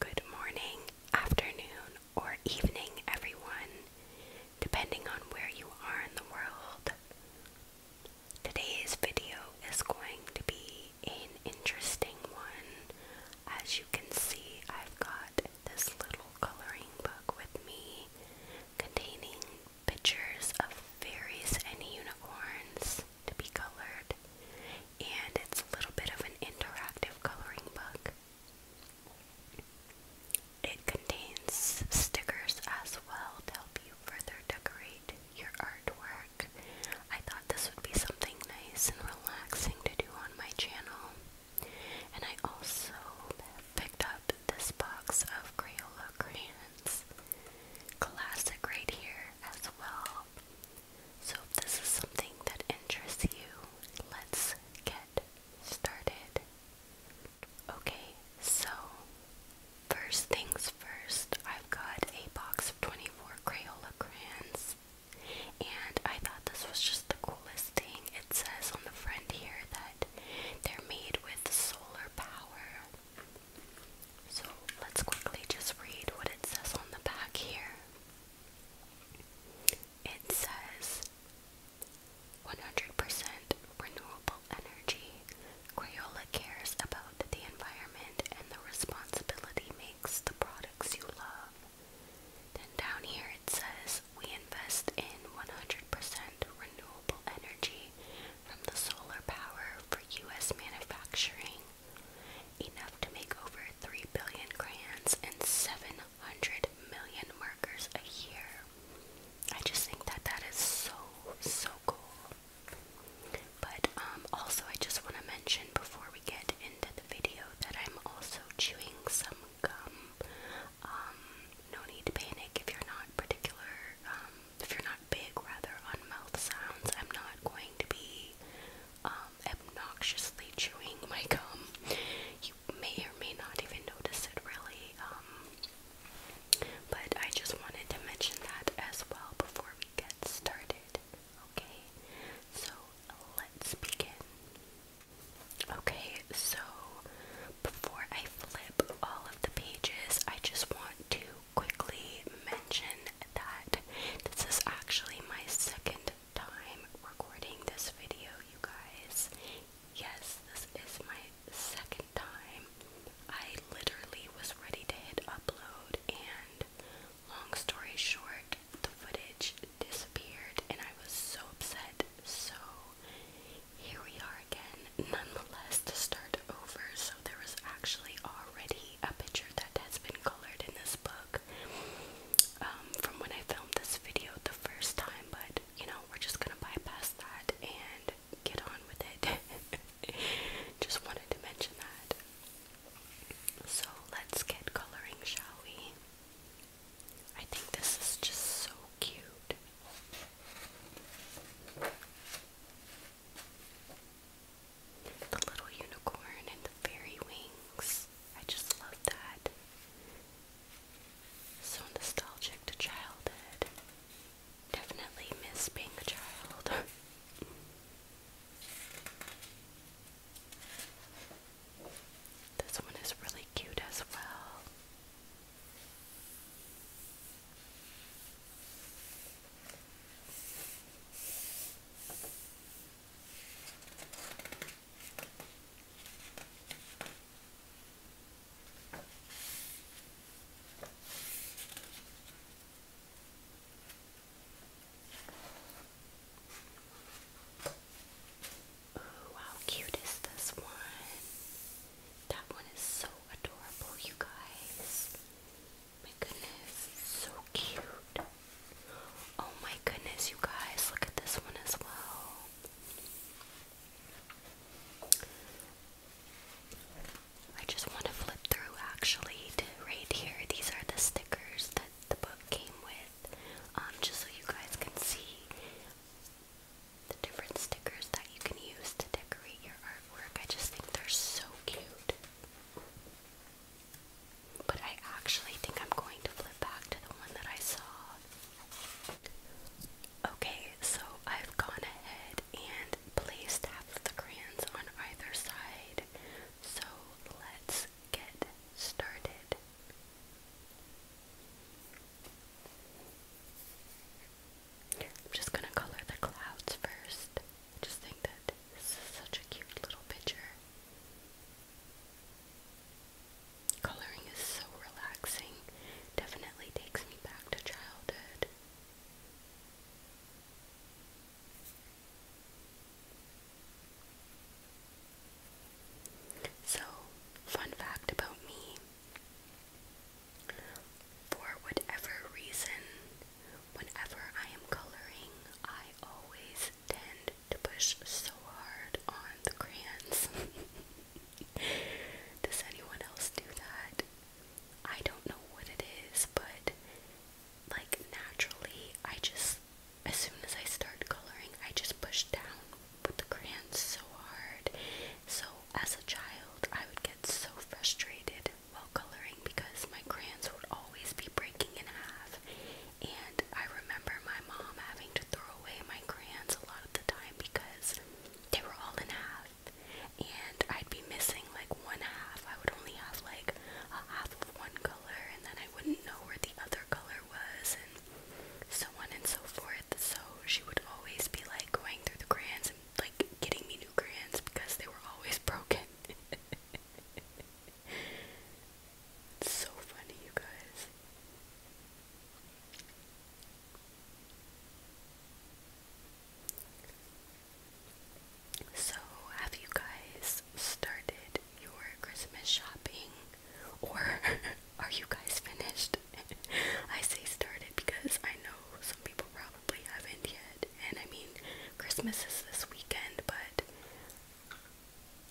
Good morning, afternoon, or evening, everyone, depending on where you are in the world. Today's video is going to be an interesting one, as you you can see, I've got this little coloring book with me containing pictures of fairies and unicorns to be colored, and it's a little bit of an interactive coloring book. It contains stickers as well to help you further decorate your artwork. I thought this would be something nice and relaxing to do on my channel. And I also picked up this box of Crayola crayons. Classic right here as well. So if this is something that interests you, let's get started. Okay, so first things first, I've got a box of 24 Crayola crayons. And I thought this was just the coolest thing. It says on the front here that they're made with solar power. So let's quickly just read what it says on the back here. It says 100% renewable energy. Crayola cares about the environment and the responsibility makes the products you love. Then down here it says we invest in 100% renewable energy from the solar power for U.S. manufacturing, enough to make over 3 billion crayons and 700 million markers a year. I just think that that is so, so cool. But um, also, I just want to mention before we get into the video that I'm also chewing some gum. Um, no need to panic if you're not particular, um, if you're not big rather on mouth sounds. I'm not going to be um, obnoxiously chewing my gum. You may or may not even notice it really. but I just wanted to mention that as well before we get started. Okay, so let's begin. Okay, so before I flip all of the pages, I just want to quickly mention that this is actually my second time recording this video, you guys. Yes, this is my second time. I literally was ready to hit upload, and long story short, the footage disappeared and I was so upset. So here we are again, nonetheless, to start over. So there was actually already a picture that has been colored in this book um, from when I filmed this video the first time, but you know, we're just gonna bypass that and get on with it. just wanted to mention that. So let's get coloring, shall we? I think this is just so cute. The little unicorn and the fairy wings. I just love that. So nostalgic to childhood. Definitely miss being a child. This one is really cute as well. Ooh, how cute is this one? That one is so adorable, you guys. My goodness, so cute. Oh my goodness, you guys, look at this one as well. I just want to flip through actually right here. These are the stickers that the book came with, um, just so you guys can see the different stickers that you can use to decorate your artwork. I just think they're so cute. But I actually think I'm going to flip back to the one that I saw. Okay, so I've gone ahead and placed half the crayons on either side. So let's get started. I'm just going to color the clouds first. just think that this is such a cute little picture. Coloring is so relaxing. Definitely takes me back to childhood. So, fun fact about me for whatever reason, whenever I am coloring, I always tend to push so hard on the crayons. Does anyone else do that? I don't know what it is, but like naturally, I just as soon as I start coloring, I just push down with the crayons so hard. So as a child, I would get so frustrated while coloring because my crayons would always be breaking in half. And I remember my mom having to throw away my crayons a lot of the time because they were all in half. And I'd be missing like one half. I would only have like a half of one color and then I wouldn't know where the other color was and so on and so forth. So she would always be like going through the crayons and like getting me new crayons because they were always broken. it's so funny, you guys. So, have you guys started your Christmas shopping? Or are you guys finished? I say started because I know some people probably haven't yet. And I mean, Christmas is this weekend, but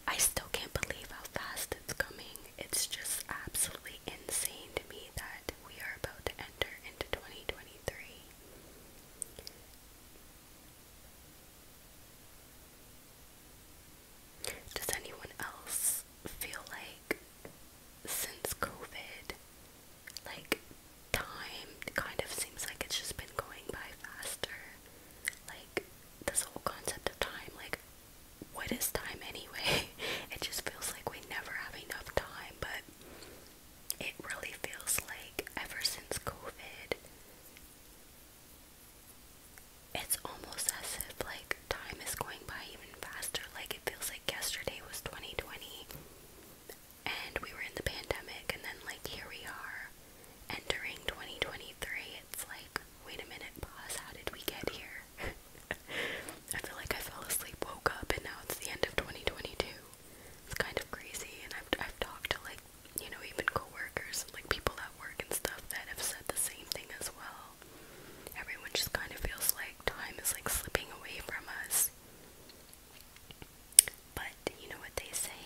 I still can't believe how fast it's coming. It's just absolutely insane to me that we are about to enter into 2023. Does anyone else feel like since COVID, like time kind of seems like it's just been going by faster? Like this whole concept of time, like what is time anyway? It just feels like we never have enough time, but it really feels like ever since COVID, it's almost as if like time is going by even faster. Like it feels like yesterday was 2020 and we were in the pandemic and then like here we are entering 2023. It's like, wait a minute, pause, how did we get here? I feel like I fell asleep, woke up, and now it's the end of 2022. It's kind of crazy, and I've, I've talked to like you know, even coworkers like people at work and stuff that have said the same thing as well. Everyone just kind of feels like time is like slipping away from us. But you know what they say?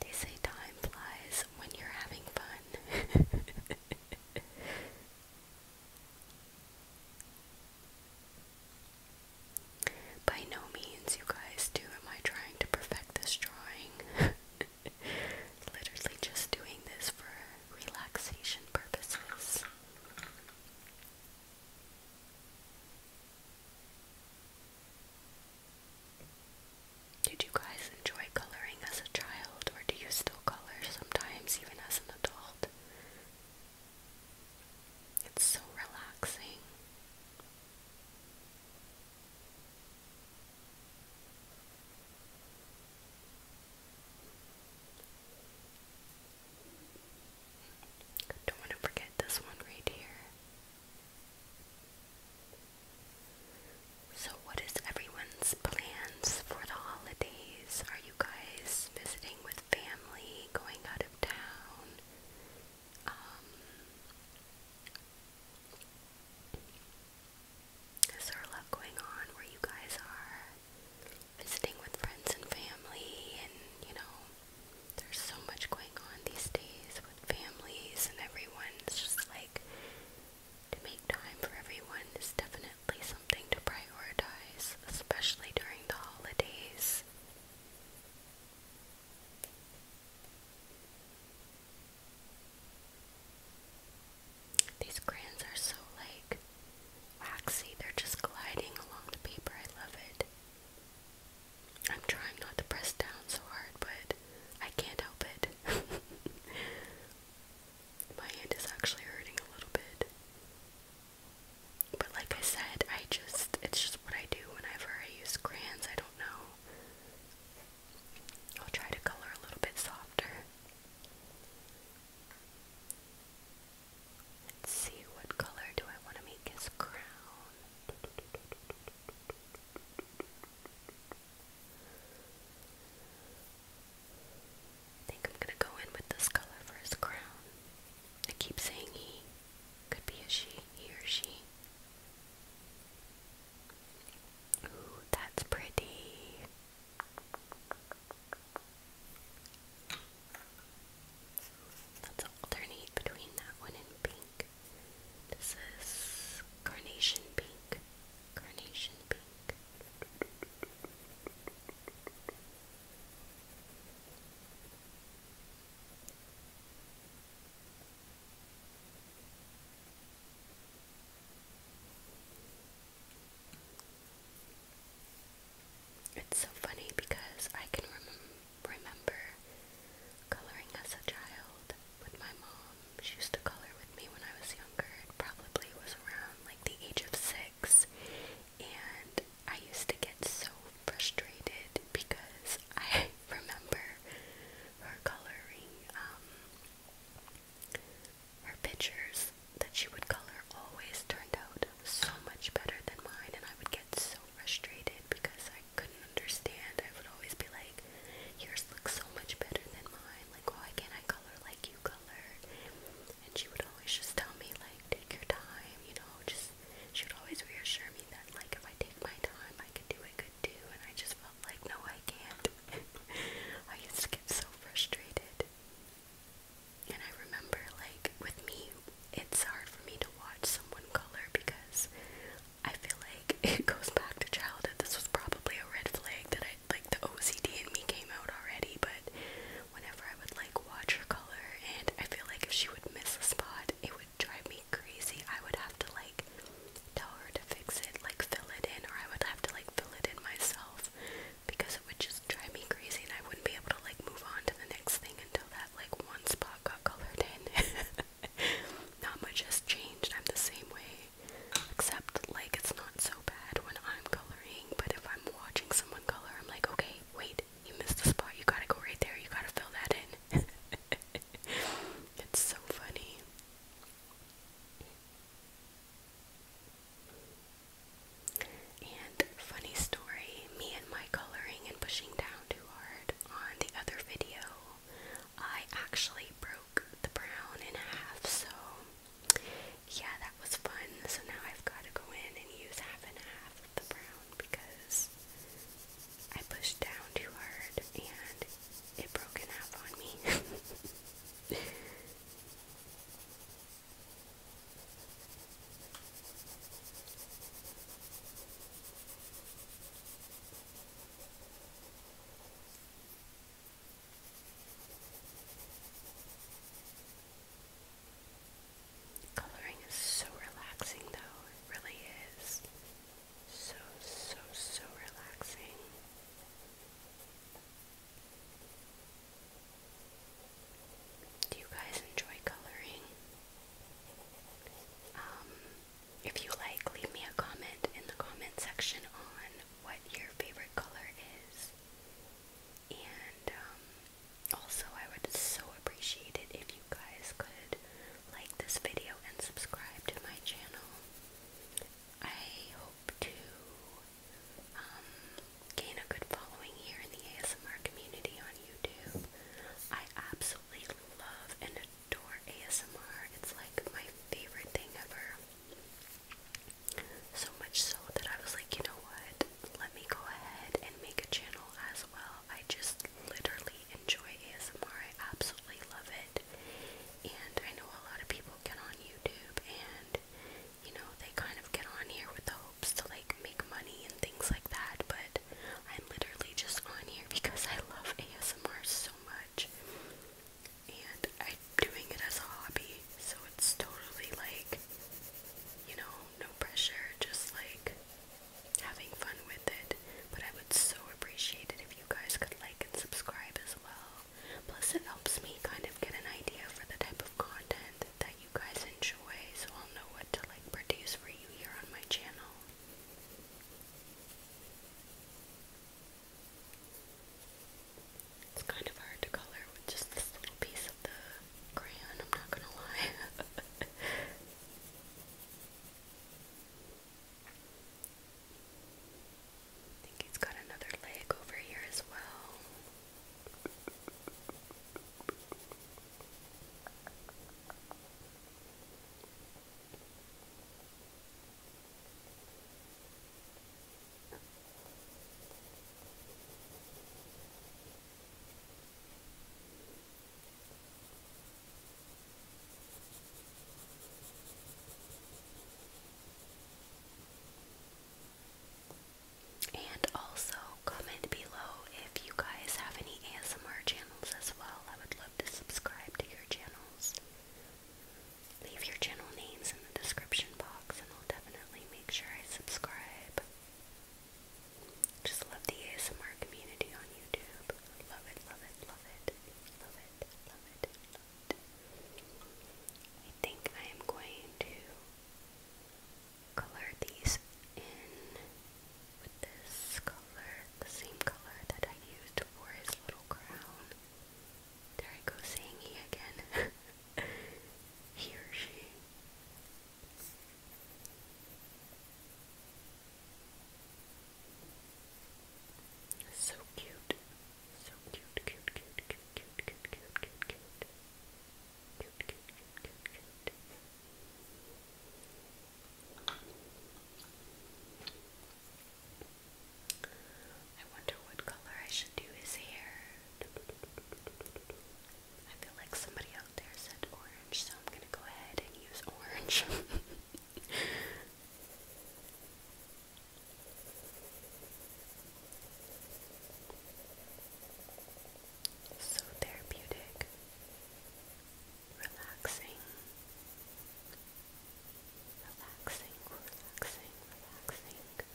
They say time flies when you're having fun. By no means, you guys, do am I trying to perfect this drawing. Literally just doing this for relaxation purposes. Did you guys enjoy coloring as a child, or do you still color sometimes, even as an adult? It's so relaxing. Don't want to forget this one right here. So, what is everyone's plans for the holidays? Are you guys visiting with family, going out of town, um, is there a going on where you guys are visiting with friends and family and you know there's so much going on these days with families and everyone it's just like to make time for everyone is definitely something to prioritize especially during the holidays these crayons are so like waxy, they're just gliding along the paper. I love it. I'm trying not to press down so hard, but I can't help it. My hand is actually hurting a little bit. But like I said, I just, it's just what I do whenever I use crayons. I don't know. I'll try to color a little bit softer. Let's see what color do I want to make his crown. I think I'm gonna go in with this color for his crown. I keep saying he. Could be a she, he or she. Ooh, that's pretty. Let's alternate between that one and pink. This is carnation pink. Carnation pink. It's so funny because I can remember coloring as a child with my mom. She used to color with me when I was younger. probably was around like the age of six. And I used to get so frustrated because I remember her coloring um, her pictures that she would color always turned out so much better than mine, and I would get so frustrated because I couldn't understand. I would always be like, yours look so much better than mine. Like, why can't I color like you color? And she would always just tell me, like, take your time, you know, just she would always reassure me that, like, if I take my time, I could do it good do, and I just felt like, no, I can't. I used to get so frustrated. And I remember, like, with me, it's hard for me to watch someone color because I feel like it goes back to childhood. This was probably a red flag that I, like, the OCD in me came out already, but whenever I would, like, watch her color, and I feel like if she would miss a spot, it would drive me crazy. I would have to like tell her to fix it, like fill it in, or I would have to like fill it in myself because it would just drive me crazy and I wouldn't be able to like move on to the next thing until that like one spot got colored in. not much has changed. I'm the same way. Except like it's not so bad when I'm coloring, but if I'm watching someone color, I'm like, okay, wait, you missed the spot. You gotta go right there. You gotta fill that in. it's so funny. And funny story, me and my coloring and pushing down too hard on the other video, I actually broke the brown in half, so yeah, that was fun. So now I've got to go in and use half and half of the brown because I pushed down too hard and it broke in half on me. Coloring is so relaxing though, it really is. So, so, so relaxing. Do you guys enjoy coloring? Um, if you like, leave me a comment in the comment section on what your favorite color is. And um, also, I would so appreciate it if you guys could like this video and subscribe to my channel. I hope to um, gain a good following here in the ASMR community on YouTube. I absolutely love and adore ASMR. It's like my favorite thing ever. So much so that I was like, you know what? Let me go ahead and make a channel as well I just literally enjoy ASMR. I absolutely love it. And I know a lot of people get on YouTube and, you know, they kind of get on here with the hopes to like make money and things like that. But I'm literally just on here because I love ASMR so much. And I'm doing it as a hobby. So it's totally like, you know, no pressure. Just like having fun with it, but I would so appreciate it if you guys could like and subscribe as well. Plus, it helps me kind of get an idea for the type of content that you guys enjoy, so I'll know what to like produce for you here on my channel. It's kind of hard to color with just this little piece of the crayon, I'm not gonna lie. I think he's got another leg over here as well. And also comment below if you guys have any ASMR channels as well. I would love to subscribe to your channels. Leave your channel names in the description box and I'll definitely make sure I subscribe. Just love the ASMR community on YouTube. Love it, love it, love it, love it, love it, I think I am going to color these in with this color, the same color that I used for his little crown. There I go saying he again. he or she. So cute. So cute, cute, cute, cute, cute, cute, cute, cute, cute. Cute, cute, I wonder what color I should do his hair. I feel like somebody out there said orange, so I'm gonna go ahead and use orange. so therapeutic, relaxing, relaxing, relaxing, relaxing.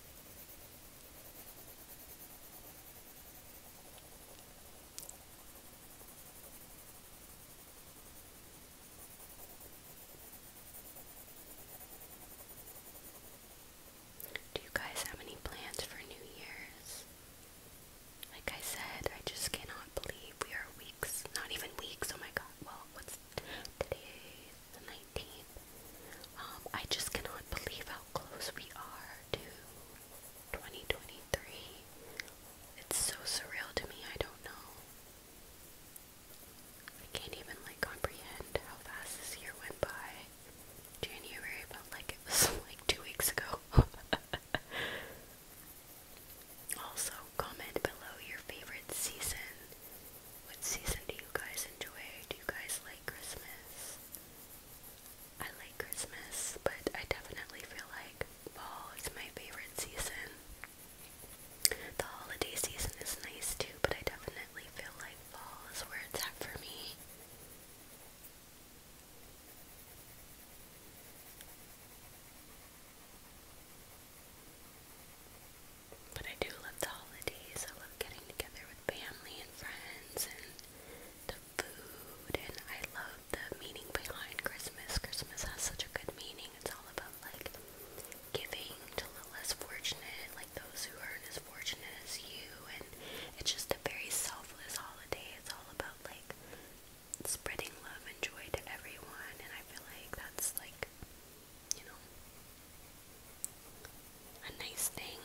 Do you guys have any plans for New Year's? Like I said, I just cannot believe we are weeks, not even weeks, oh my god, well, what's today, the 19th? Um, I just cannot believe how close we are to It's so surreal to me, I don't know. I can't even like comprehend how fast this year went by. January felt like it was like two weeks ago. also, comment below your favorite season. What season do you guys enjoy? Do you guys like Christmas? I like Christmas, but I definitely feel like fall is my favorite season. The holiday season is nice too, but I definitely feel like fall is where it's at for me. But I do love the holidays. I love getting together with family and friends and food, and I love the meaning behind Christmas. Christmas has such a good meaning. It's all about like giving to the less fortunate, like those who aren't as fortunate as you, and it's just a very selfless holiday. It's all about like spreading love and joy to everyone, and I feel like that's like you know a nice thing.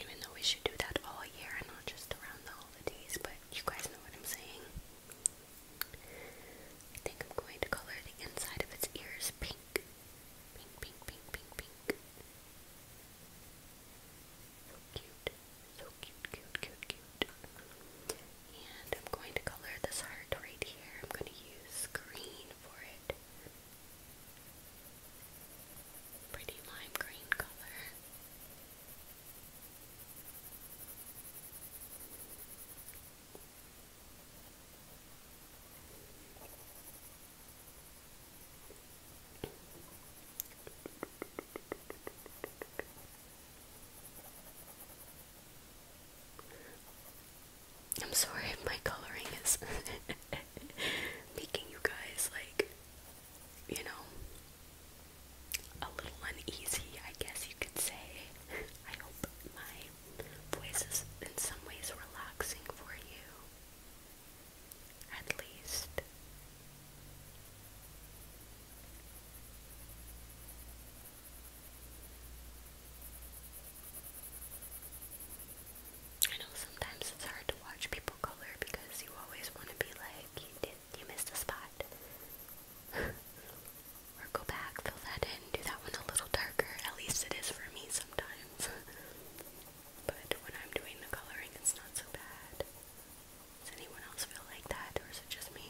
Even though we should do that all year and not just around the holidays, but you guys know what I'm saying. I think I'm going to color the inside of its ears pink. Pink, pink, pink, pink, pink. So cute. So cute, cute, cute, cute. And I'm going to color this heart right here. I'm going to use green for it. Pretty lime green color. I'm sorry if my coloring is making you guys like you know a little uneasy, I guess you could say. I hope my voice is in some ways relaxing for you. At least. I know sometimes it's hard to watch people color because you always want to be like, you did, you missed a spot. or go back, fill that in, do that one a little darker. At least it is for me sometimes. but when I'm doing the coloring, it's not so bad. Does anyone else feel like that, or is it just me?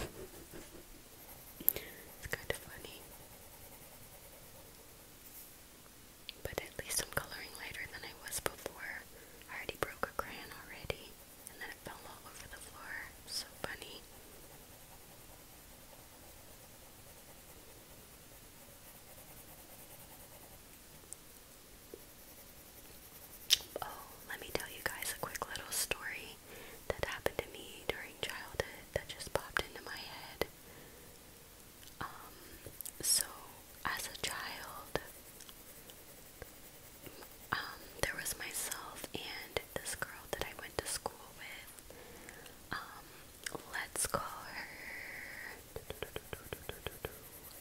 it's kind of funny. But at least I'm coloring lighter than I was before. I already broke a crayon already, and then it fell all over the floor. So funny. Oh, let me tell you guys a quick little story that happened to me during childhood that just popped into my head. Um, so as a child, um, there was myself and this girl that I went to school with. Um, let's call her.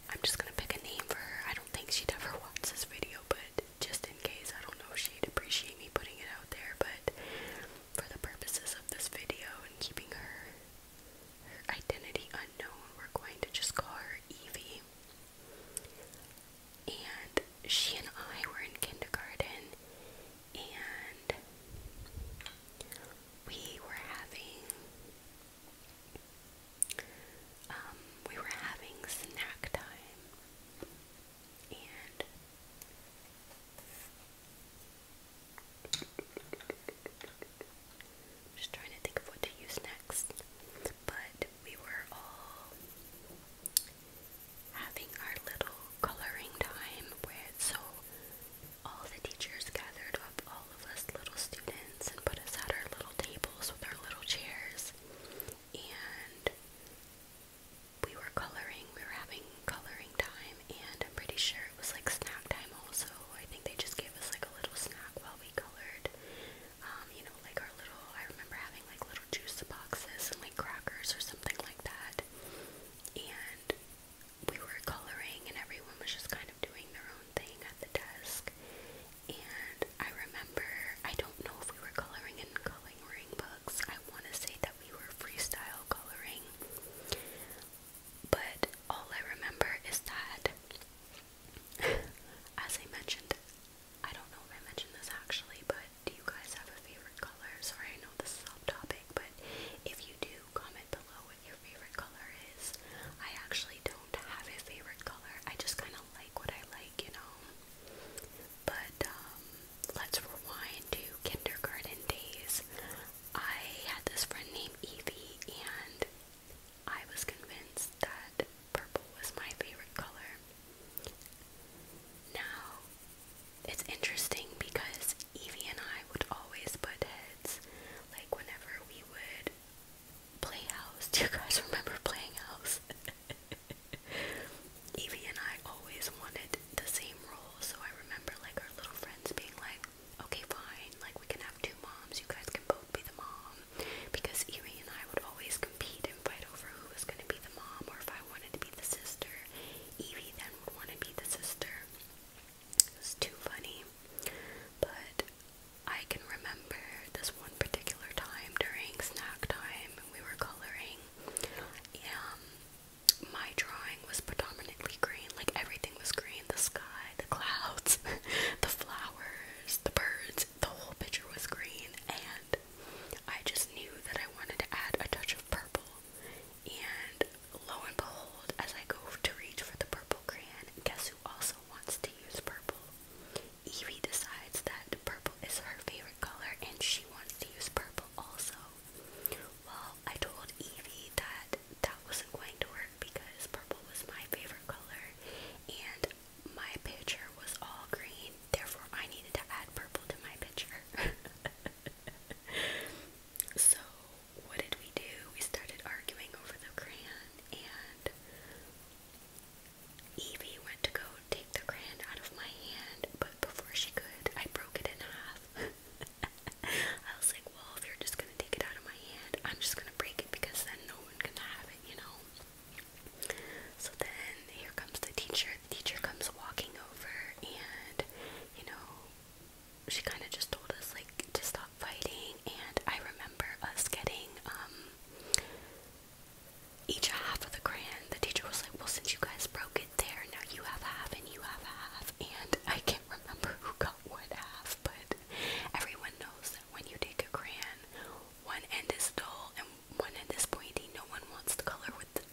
I'm just gonna pick a name for her. I don't think she'd ever watch this video, but just in case, I don't know she'd appreciate me putting it out there. But for the purposes of this video and keeping her, identity unknown, we're going to just call her Evie. And she and I were in kindergarten and we were having um, we were having snack time and just trying to think of what to use next. But we were all having our little coloring time where so all the teachers gathered up all of us little students and put us at our little tables with our little chairs and we were coloring, we were having coloring time, and I'm pretty sure it was like snack time also. I think they just gave us like a little snack while we colored. Um, you know, like our little, I remember having like little juice boxes and like crackers or something like that. And we were coloring, and everyone was just kind of doing their own thing at the desk. And I remember, I don't know if we were coloring in coloring books. I want to say that we were freestyle coloring. But all I remember is that, as I mentioned, I don't know if I mentioned this actually, but do you guys have a favorite color? Sorry, I know this is off topic, but if you do, comment below what your favorite color is. I actually don't have a favorite color, I just kind of like what I like, you know? But, um, let's rewind to kindergarten days. I had this friend named Evie, and I was convinced that purple was my favorite color. Now, it's interesting because Evie and I would always put heads. Like, whenever we would play house, do you guys remember playing house? Evie and I always wanted the same role, so I remember like our little friends being like, okay, fine, like we can have two moms, you guys can both be the mom. Because Amy and I would always compete and fight over who was going to be the mom, or if I wanted to be the sister, Evie then would want to be the sister. It was too funny. But I can remember this one particular time during snack time, and we were coloring. Um, my drawing was predominantly green. Like everything was green. The sky, the clouds, the flowers, the birds, the whole picture was green. And I just knew that I wanted to add a touch of purple. And lo and behold, as I go to reach for the purple crayon, guess who also wants to use purple? Evie decides that purple is her favorite color and she wants to use purple also. Well, I told Evie that that wasn't going to work because purple was my favorite color and my picture was all green, therefore, I needed to add purple to my picture. so, what did we do? We started arguing over the crayon, and Evie went to go take the crayon out of my hand, but before she could, I broke it in half. I was like, well, if you're just gonna take it out of my hand, I'm just gonna break it because then no one can have it, you know. So then here comes the teacher. The teacher comes walking over, and you know, she kind of just told us like to stop fighting. And I remember us getting um each half of the grand. The teacher was like, well, since you guys broke it there. Now you have half and you have half. And I can't remember who got what half, but everyone knows that when you take a crayon, one end is dull and one end is pointy. No one wants to color with the,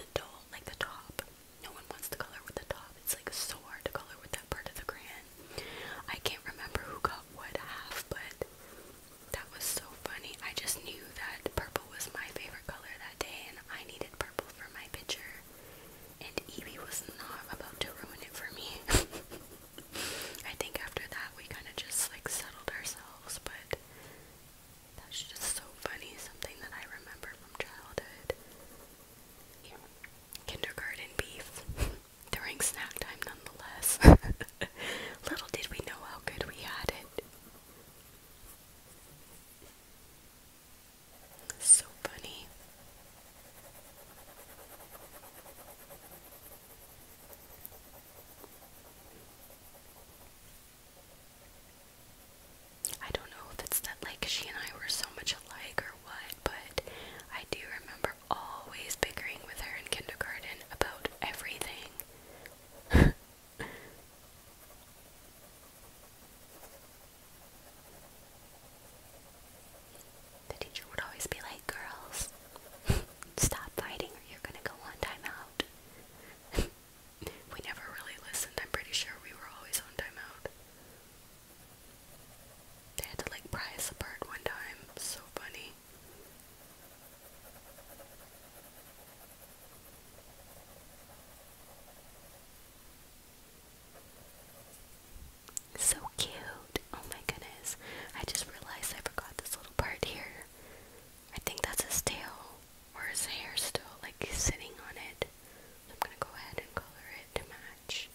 the dull, like the top. No one wants to color with the top. It's like so hard to color with that part of the crayon. I can't remember who got what half, but that was so funny. I just knew that purple was my favorite color that day, and I needed purple for my picture and Evie was not about to ruin it for me. I think after that we kind of just like settled ourselves, but that's just so funny, something that I remember from childhood. Kindergarten beef during snack time nonetheless. Little did we know how good we had it. So funny. I don't know if it's that like she and I were so much alike or what, but I do remember always bickering with her in kindergarten about everything. The teacher would always be like, girls, stop fighting or you're gonna go on timeout. we never really listened. I'm pretty sure we were always on timeout. They had to like pry us apart one time. So funny. So cute. Oh my goodness. I just realized I forgot this little part here. I think that's his tail or his hair still like sitting on it. I'm gonna go ahead and color it to match.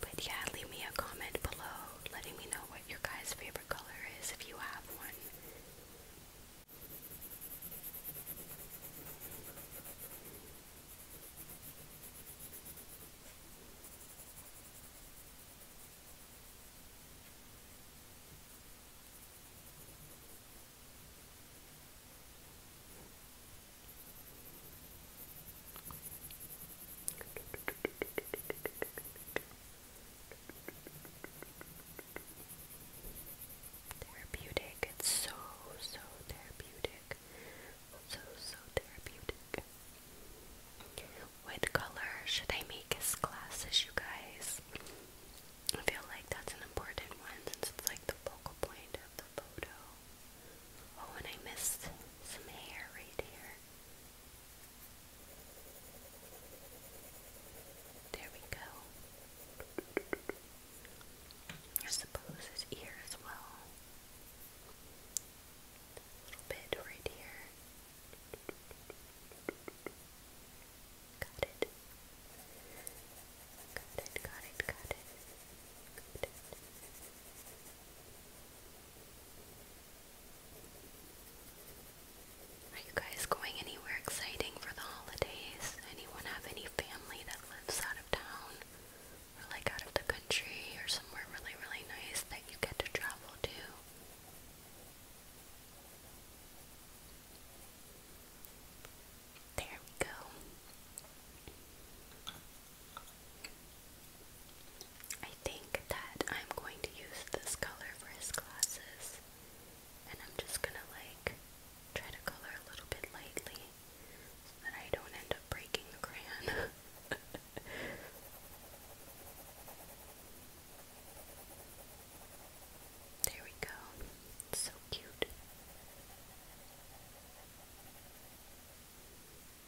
But yeah, leave me a comment below letting me know what your guys' favorite color is if you have one. Therapeutic. It's so, so therapeutic. So, so therapeutic. What color should I make as glasses, you guys? I feel like that's an important one since it's like the focal point of the photo. Oh, and I missed some hair right here. There we go. I suppose his ear well. A little bit right here. Got it. Got it, got it, got it. Got it. Are you guys going anywhere exciting for the holidays? Anyone have any family that lives out of town? Or like out of the country or somewhere really, really nice that you get to travel to? There we go. I think that I'm going to use this color for his glasses. And I'm just gonna like try to color a little bit lightly so that I don't end up breaking the crayon. there we go. so cute.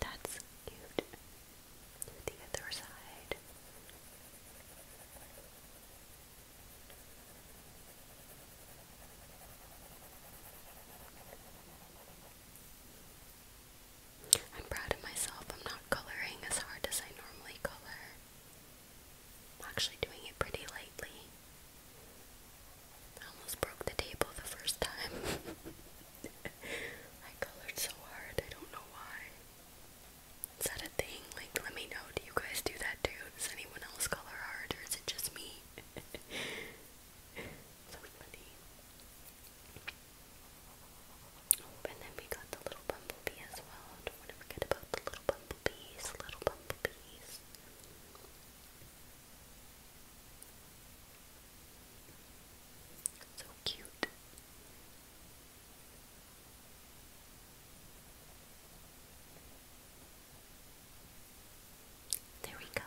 That's cute. the other side. I'm proud of myself. I'm not coloring as hard as I normally color. I'm actually doing it pretty lightly. almost broke the table the first time. I colored so hard, I don't know why. Is that a thing? Like, let me know. Do you guys do that too? Does anyone else color hard or is it just me? so funny. Oh, and then we got the little bumblebee as well. Don't want to forget about the little bumblebees, little bumblebees. So cute. There we go.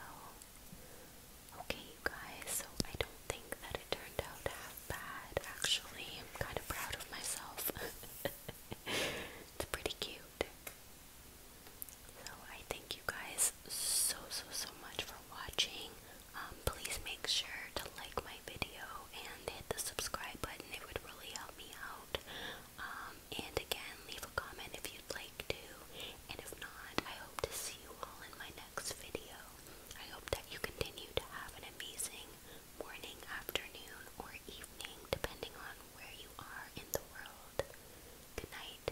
Okay, you guys, so I don't think that it turned out half bad, actually. I'm kind of proud of myself. it's pretty cute. So I thank you guys so, so, so much for watching. Um, please make sure to like my video and hit the subscribe button. It would really help me out. Um, and again, leave a comment if you'd like to. And if not, I hope to see you all in my next video. I hope that you continue to have an amazing morning, afternoon, or evening, depending on where you are in the world. Good night.